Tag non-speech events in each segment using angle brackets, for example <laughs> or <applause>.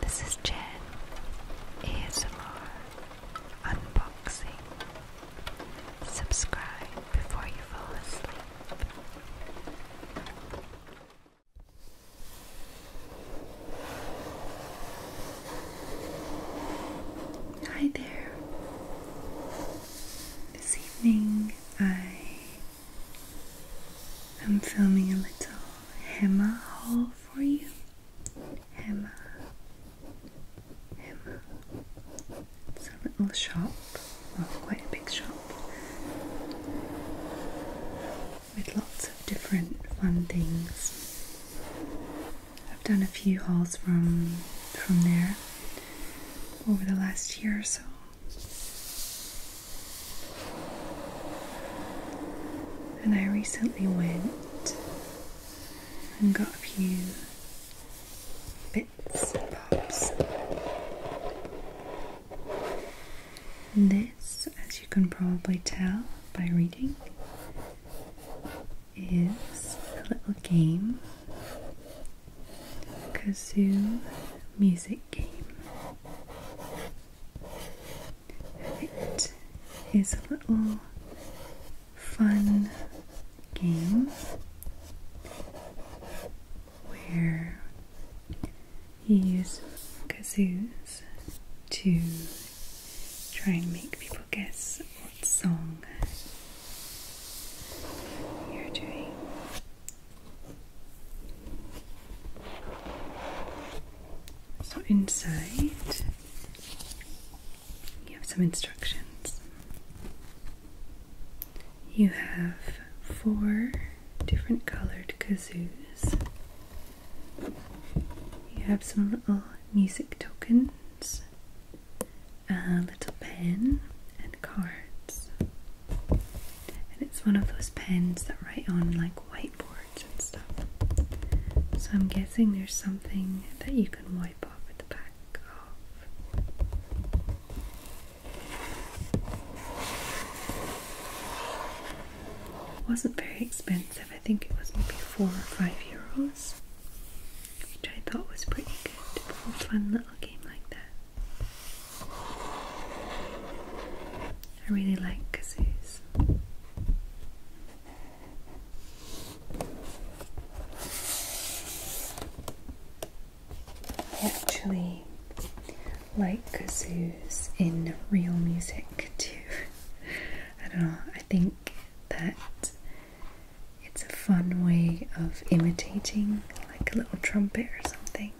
This is Jen ASMR Unboxing. Subscribe before you fall asleep. Hi there. This evening I I'm filming a little Hema haul for you. Hema. Hema. It's a little shop, well, quite a big shop, with lots of different fun things. I've done a few hauls from from there over the last year or so. And I recently went and got a few bits and bobs. this, as you can probably tell by reading, is a little game kazoo music game. It is a little fun game where you use kazoos to try and make people guess what song you're doing. So inside you have some instructions. You have four different colored kazoos. You have some little music tokens, a little pen, and cards and it's one of those pens that write on like whiteboards and stuff. So I'm guessing there's something that you can wipe off at the back of. It wasn't very expensive. I think it was maybe four or five euros, which I thought was pretty good for a fun little game like that. I really like kazoos. I actually like kazoos in real music too. <laughs> I don't know, I think that it's a fun way of imitating like a little trumpet or something,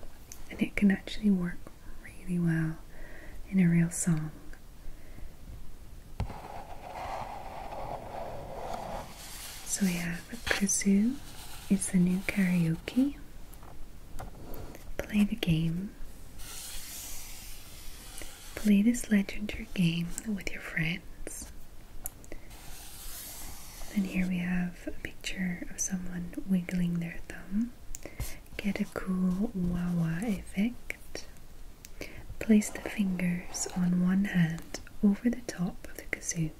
and it can actually work really well in a real song. So we have kazoo. It's the new karaoke. Play the game. Play this legendary game with your friends. And here we have a picture of someone wiggling their thumb, get a cool wah wah effect. Place the fingers on one hand over the top of the kazoo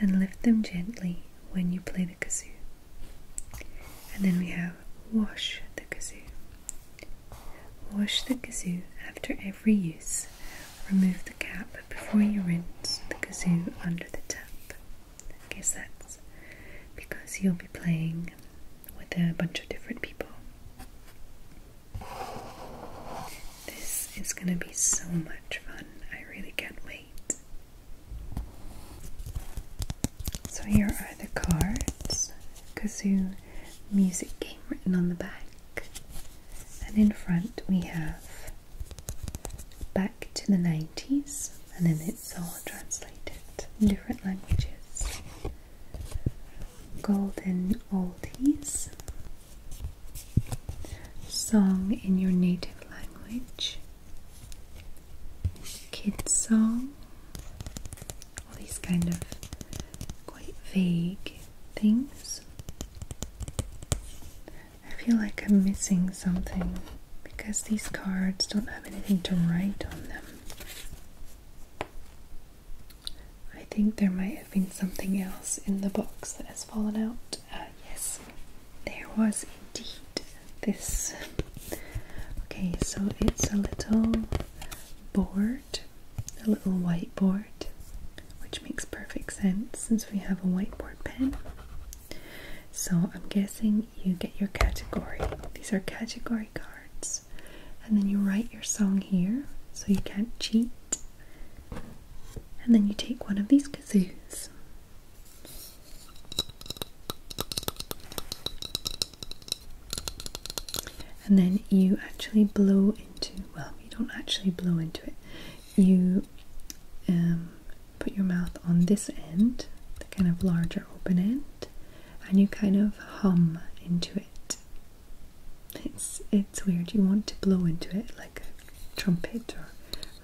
and lift them gently when you play the kazoo. And then we have wash the kazoo. Wash the kazoo after every use. Remove the cap before you rinse the kazoo under the tap. I guess that's because you'll be playing with a bunch of different people. This is going to be so much fun. I really can't wait. So, here are the cards kazoo music game written on the back, and in front we have back to the 90s, and then it's all translated in different languages. Golden Oldies, Song in Your Native Language, Kids Song, all these kind of quite vague things. I feel like I'm missing something because these cards don't have anything to write on them. I think there might have been something else in the box that has fallen out. Uh, yes, there was indeed this. Okay, so it's a little board, a little whiteboard, which makes perfect sense since we have a whiteboard pen. So I'm guessing you get your category. These are category cards. And then you write your song here so you can't cheat. And then you take one of these kazoos. And then you actually blow into, well, you don't actually blow into it, you um, put your mouth on this end, the kind of larger open end, and you kind of hum into it. It's it's weird. You want to blow into it like a trumpet or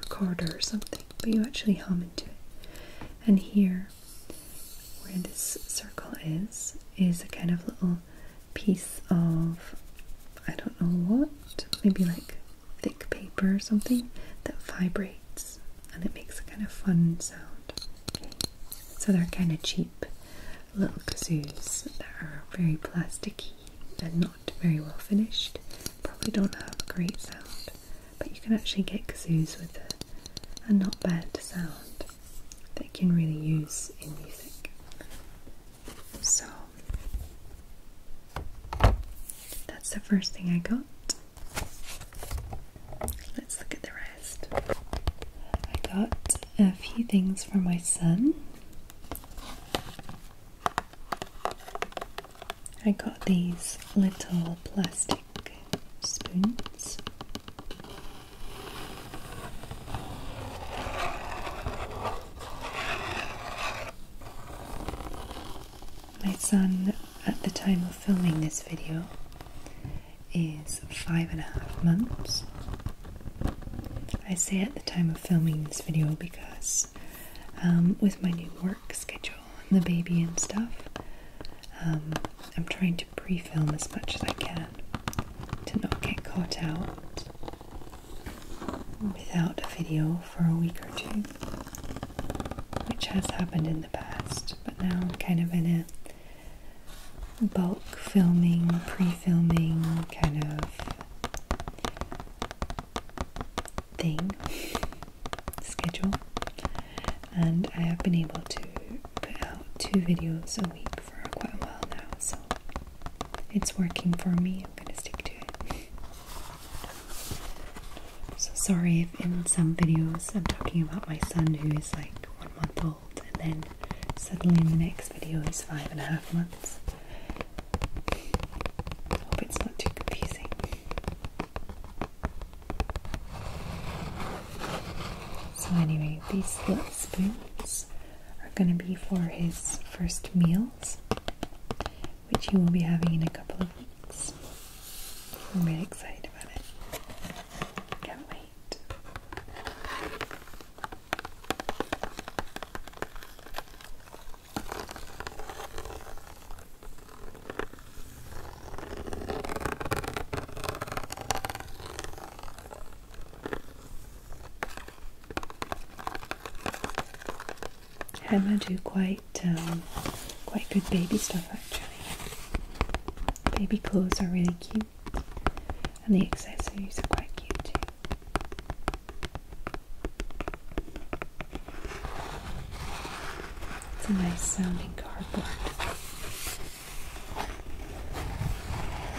recorder or something, but you actually hum into it. And here, where this circle is, is a kind of little piece of I don't know what, maybe like thick paper or something that vibrates and it makes a kind of fun sound. So they're kind of cheap little kazoos that are very plasticky and not very well finished. Probably don't have a great sound, but you can actually get kazoos with a not bad sound that you can really use in music. So that's the first thing I got. Let's look at the rest. I got a few things for my son. I got these little plastic spoons. My son, at the time of filming this video, is five and a half months. I say at the time of filming this video because um, with my new work schedule and the baby and stuff, um, I'm trying to pre film as much as I can to not get caught out without a video for a week or two, which has happened in the past, but now I'm kind of in a bulk filming, pre filming kind of thing <laughs> schedule, and I have been able to put out two videos a week for quite a while now, so it's working for me. I'm gonna stick to it. so sorry if in some videos I'm talking about my son who is like one month old, and then suddenly in the next video he's five and a half months. hope it's not too confusing. So anyway, these little spoons are gonna be for his first meal which you will be having in a couple of weeks. I'm really excited about it. Can't wait. Hammer do quite um, quite good baby stuff actually. Baby clothes are really cute, and the accessories are quite cute too. It's a nice sounding cardboard.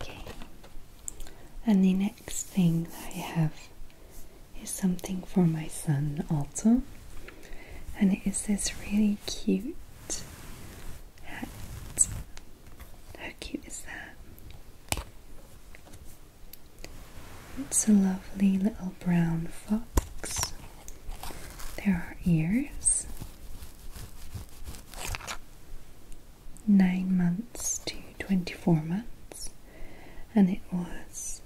Okay, and the next thing I have is something for my son also, and it is this really cute hat. How cute is that? It's a lovely little brown fox. There are ears. Nine months to 24 months, and it was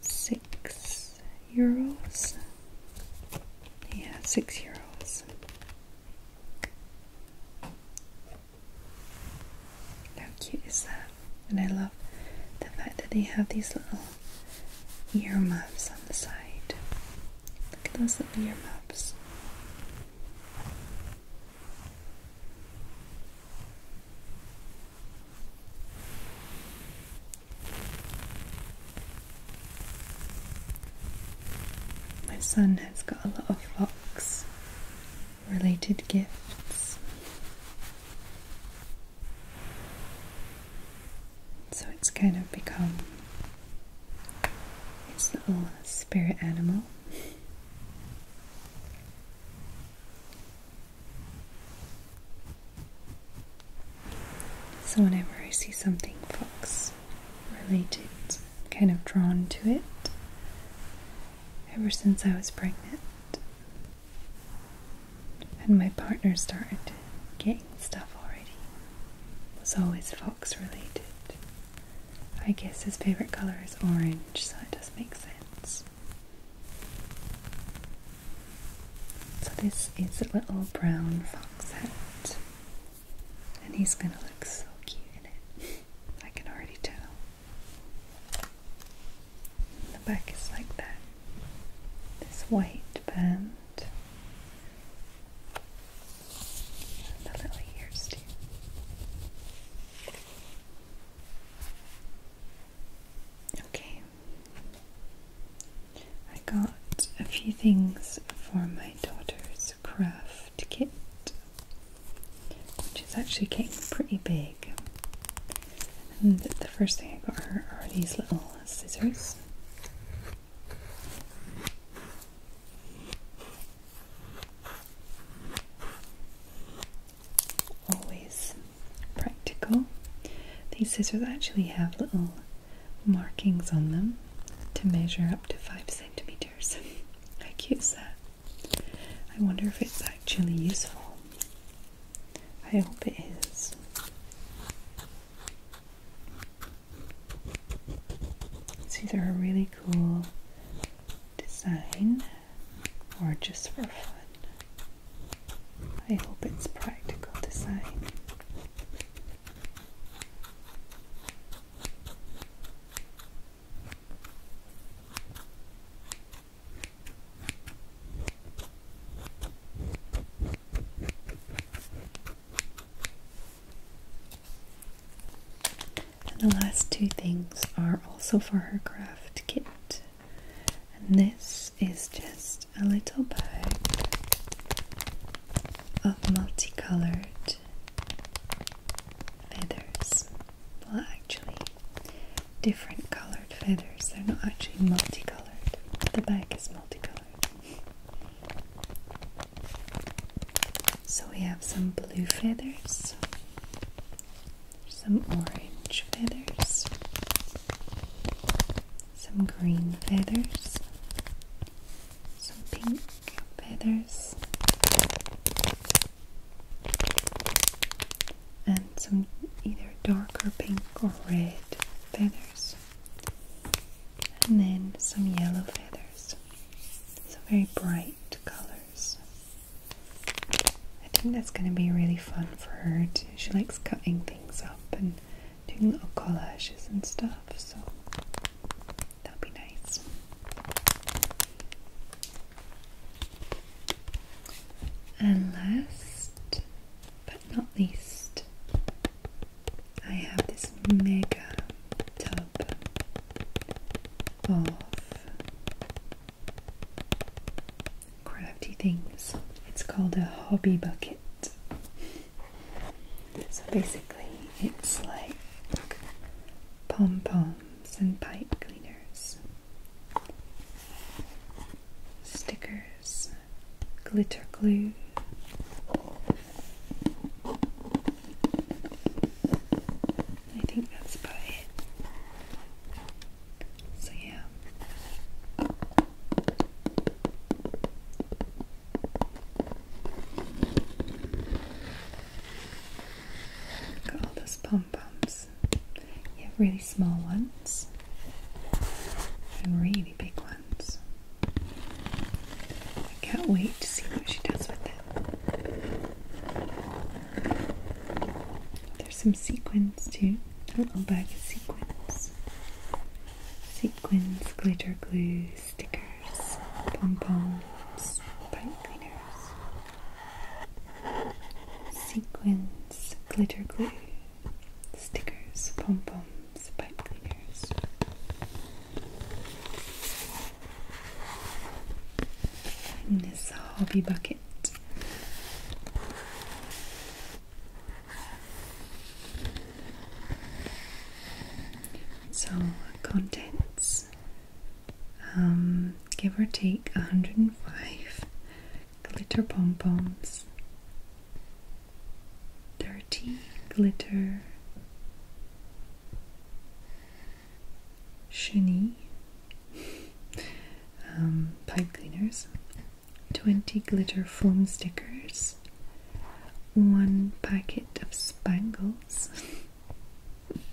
six euros. Yeah, six euros. How cute is that? And I love the fact that they have these little ear muffs on the side. Look at those little ear muffs. My son has got a lot of fox related gifts. So it's kind of become his little spirit animal. So, whenever I see something fox related, kind of drawn to it ever since I was pregnant. And my partner started getting stuff already. It was always fox related. I guess his favorite color is orange, so it does make sense. So this is a little brown fox. And he's gonna look so cute in it. <laughs> I can already tell. The back is like that. This white band. the little ears too. Okay, I got a few things for my daughter's craft kit, which is actually getting pretty big. And the first thing I got her are these little scissors. Always practical. These scissors actually have little markings on them to measure up to 5 centimeters. I <laughs> use that. I wonder if it's actually useful. I hope it is. It's either a really cool design or just for fun. I hope it's practical to sign. the last two things are also for her craft kit. And this is just a little bag of multicolored feathers. Well, actually, different colored feathers. They're not actually multicolored. The bag is multicolored. So we have some blue feathers, some orange feathers, some green feathers, some pink feathers, and some either darker pink or red feathers, and then some yellow feathers. Some very bright colors. I think that's going to be really fun for her. Too. She likes cutting things up and doing little collages and stuff, so that'll be nice. And last but not least, I have this mega tub of crafty things. It's called a hobby bucket. So basically, it's like pom poms and pipe cleaners, stickers, glitter glue. I think that's about it. So yeah. Got all those pom poms. You have really small ones and really big ones. I can't wait to see what she does with it. There's some sequins too a little bag of sequins. Sequins, glitter glue, stickers, pom-poms, pipe cleaners. Sequins, glitter glue, stickers, pom-poms, pipe cleaners. In this hobby bucket. So, contents um, give or take 105 glitter pom poms, 30 glitter chenille <laughs> um, pipe cleaners, 20 glitter foam stickers, one packet of spangles. <laughs> I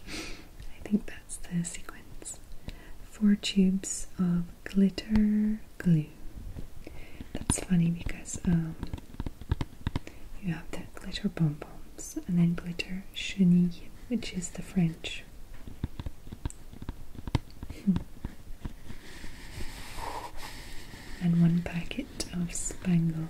think that's the sequence. Four tubes of glitter glue. That's funny because um, you have the glitter bonbons and then glitter chenille, which is the French and one packet of spangles.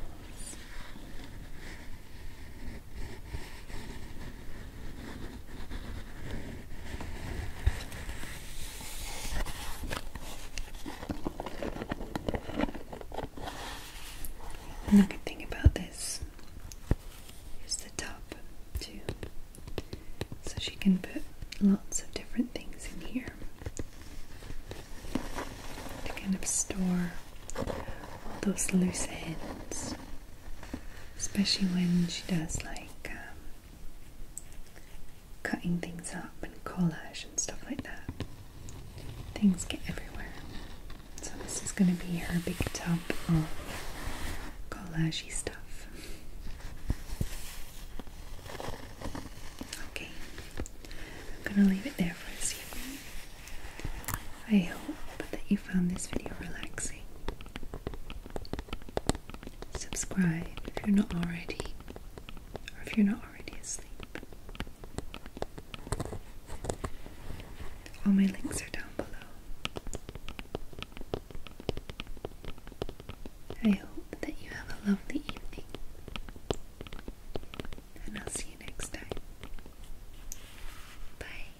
Another thing about this is the top too. So she can put lots of different things in here to kind of store all those loose ends, especially when she does like um, cutting things up and collage and stuff like that. Things get everywhere. So, this is going to be her big tub of collagey stuff. Okay, I'm gonna leave it there for this evening. I hope that you found this video relaxing. Subscribe if you're not already, or if you're not already asleep. All my links are down below. I hope that you have a lovely evening, and I'll see you next time. Bye.